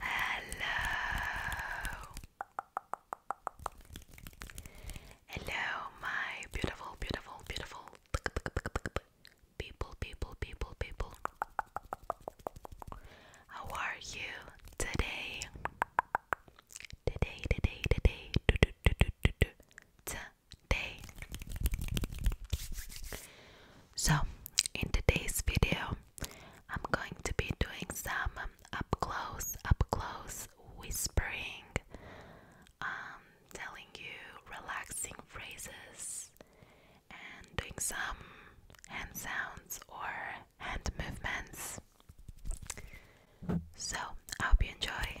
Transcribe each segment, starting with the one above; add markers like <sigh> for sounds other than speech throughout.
Hello. Hello, my beautiful, beautiful, beautiful people, people, people, people. How are you today? Today, today, today. Do, do, do, do, do, do day. So, in today's video, I'm going to be doing some up close, up close whispering, um, telling you relaxing phrases, and doing some hand sounds or hand movements. So, I hope you enjoy.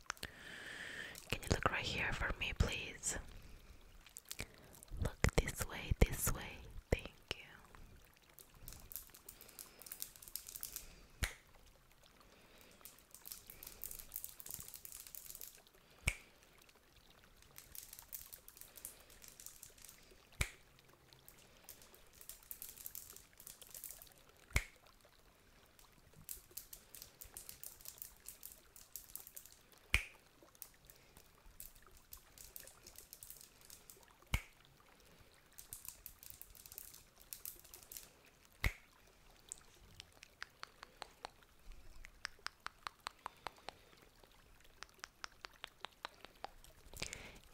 Can you look right here for me, please? Look this way, this way. Thank you.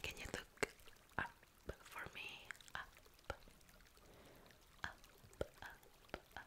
Can you look up for me? Up, up, up, up,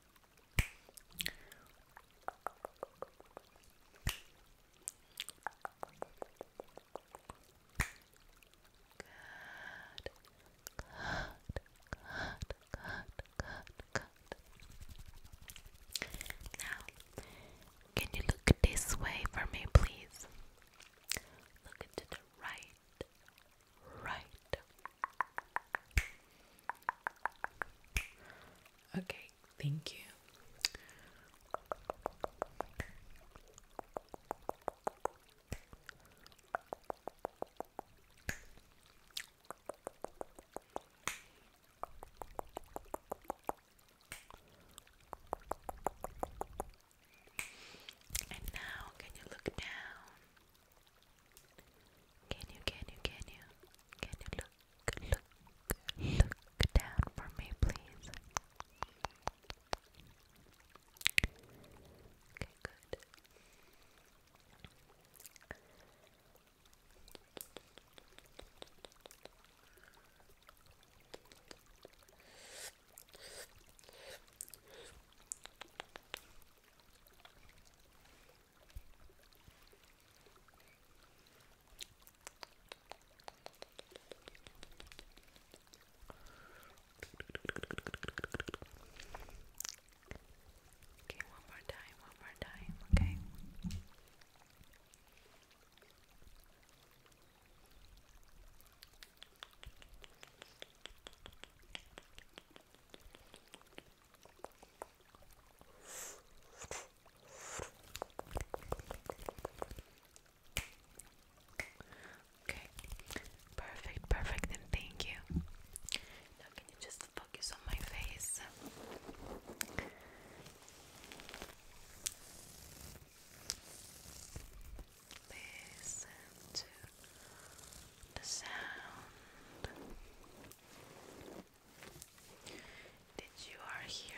good, Now, can you look this way for me, please? Look to the right, right, Okay, thank you. And now, can you look down? Can you, can you, can you, can you look, look, look down for me, please? Okay, good. Okay, one more time, one more time, okay. Okay, Okay, perfect, perfect, and thank you. Now, can you just focus on my face? Listen to the sound that you are hearing.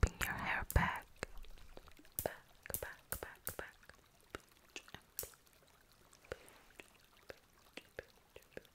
Clipping your hair back,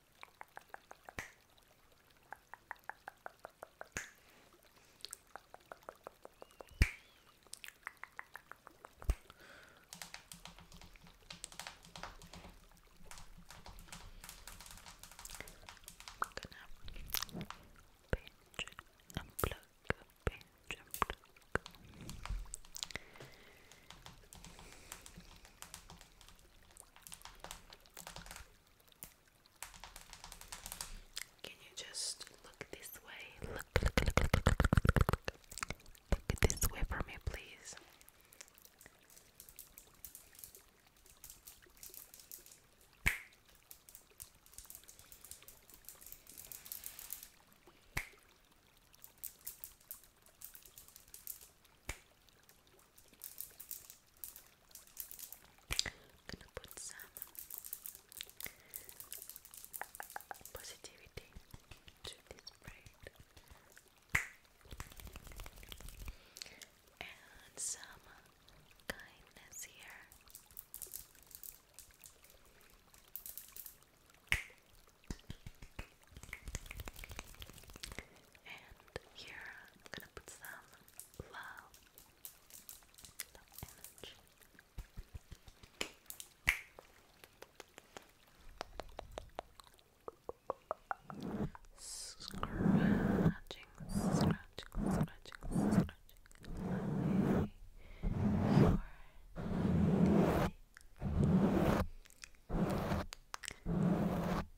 I'm gonna pinch and pluck, pinch and pluck. Can you just look this way? Look, this way for me, please. I'm gonna put some positivity to this and some kindness here. And here I'm gonna put some love, Scratching, scratching, scratching, scratching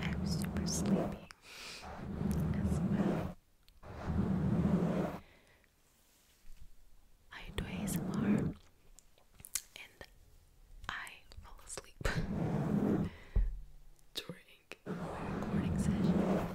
I'm super sleepy as well. I do ASMR and I fall asleep <laughs> during recording session.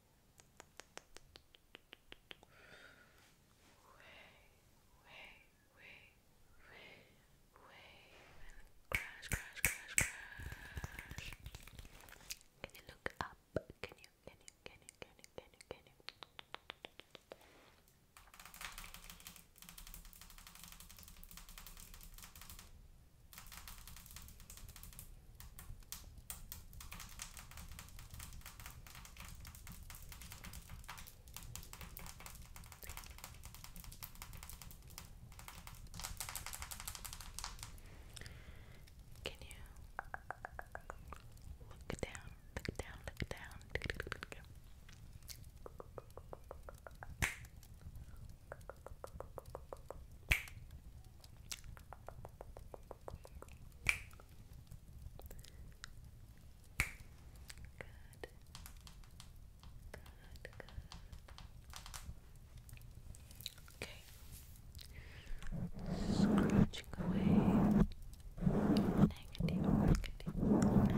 and crash, crash, crash, crash. Can you look up? can you, can you, can you, can you, can you? Can you can you look down, look down, look down? good. Okay. Scratching away negative, negative energy. Good.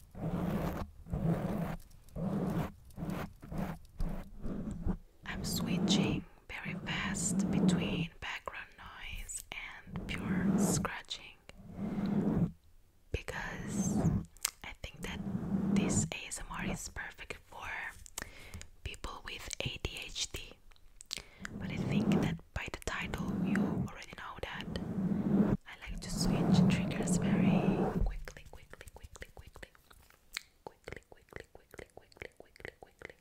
I'm switching very fast between background noise and pure scratching because I think that this ASMR is perfect for people with ADHD. But I think that by the title you already know that I like to switch triggers very quickly, quickly, quickly, quickly, quickly, quickly, quickly, quickly, quickly, quickly.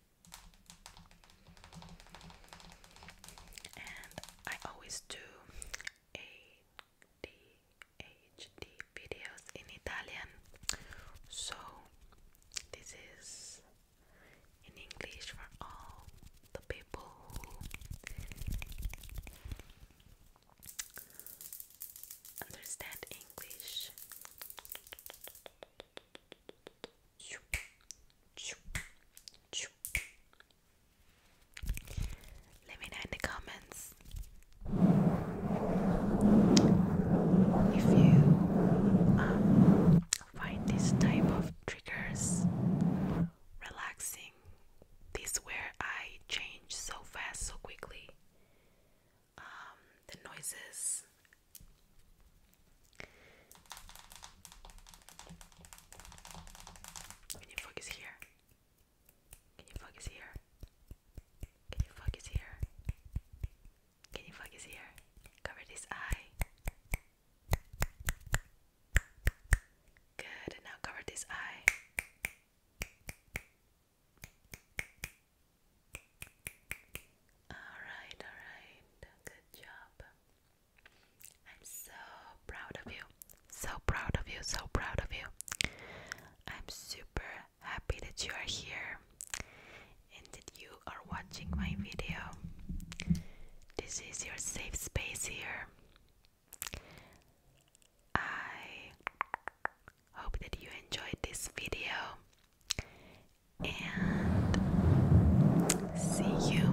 And I always do ADHD videos in Italian, so this is in English for all the people who understand English. Let me know in the comments if you um, find this type of triggers relaxing this where I change so fast, so quickly. Um, the noises. Can you focus here? Can you focus here? Can you focus here? Can you focus here? Cover this eye. Good. And now cover this eye. Alright, alright. Good job. I'm so proud of you. So proud of you. So proud of you. I'm super happy that you are here and that you are watching my video. This is your safe space here. I hope that you enjoyed this video and see you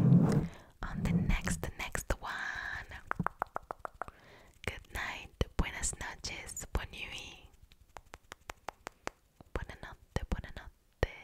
on the next next one. Good night, buenas noches, buon nuit. Buonanotte, buonanotte.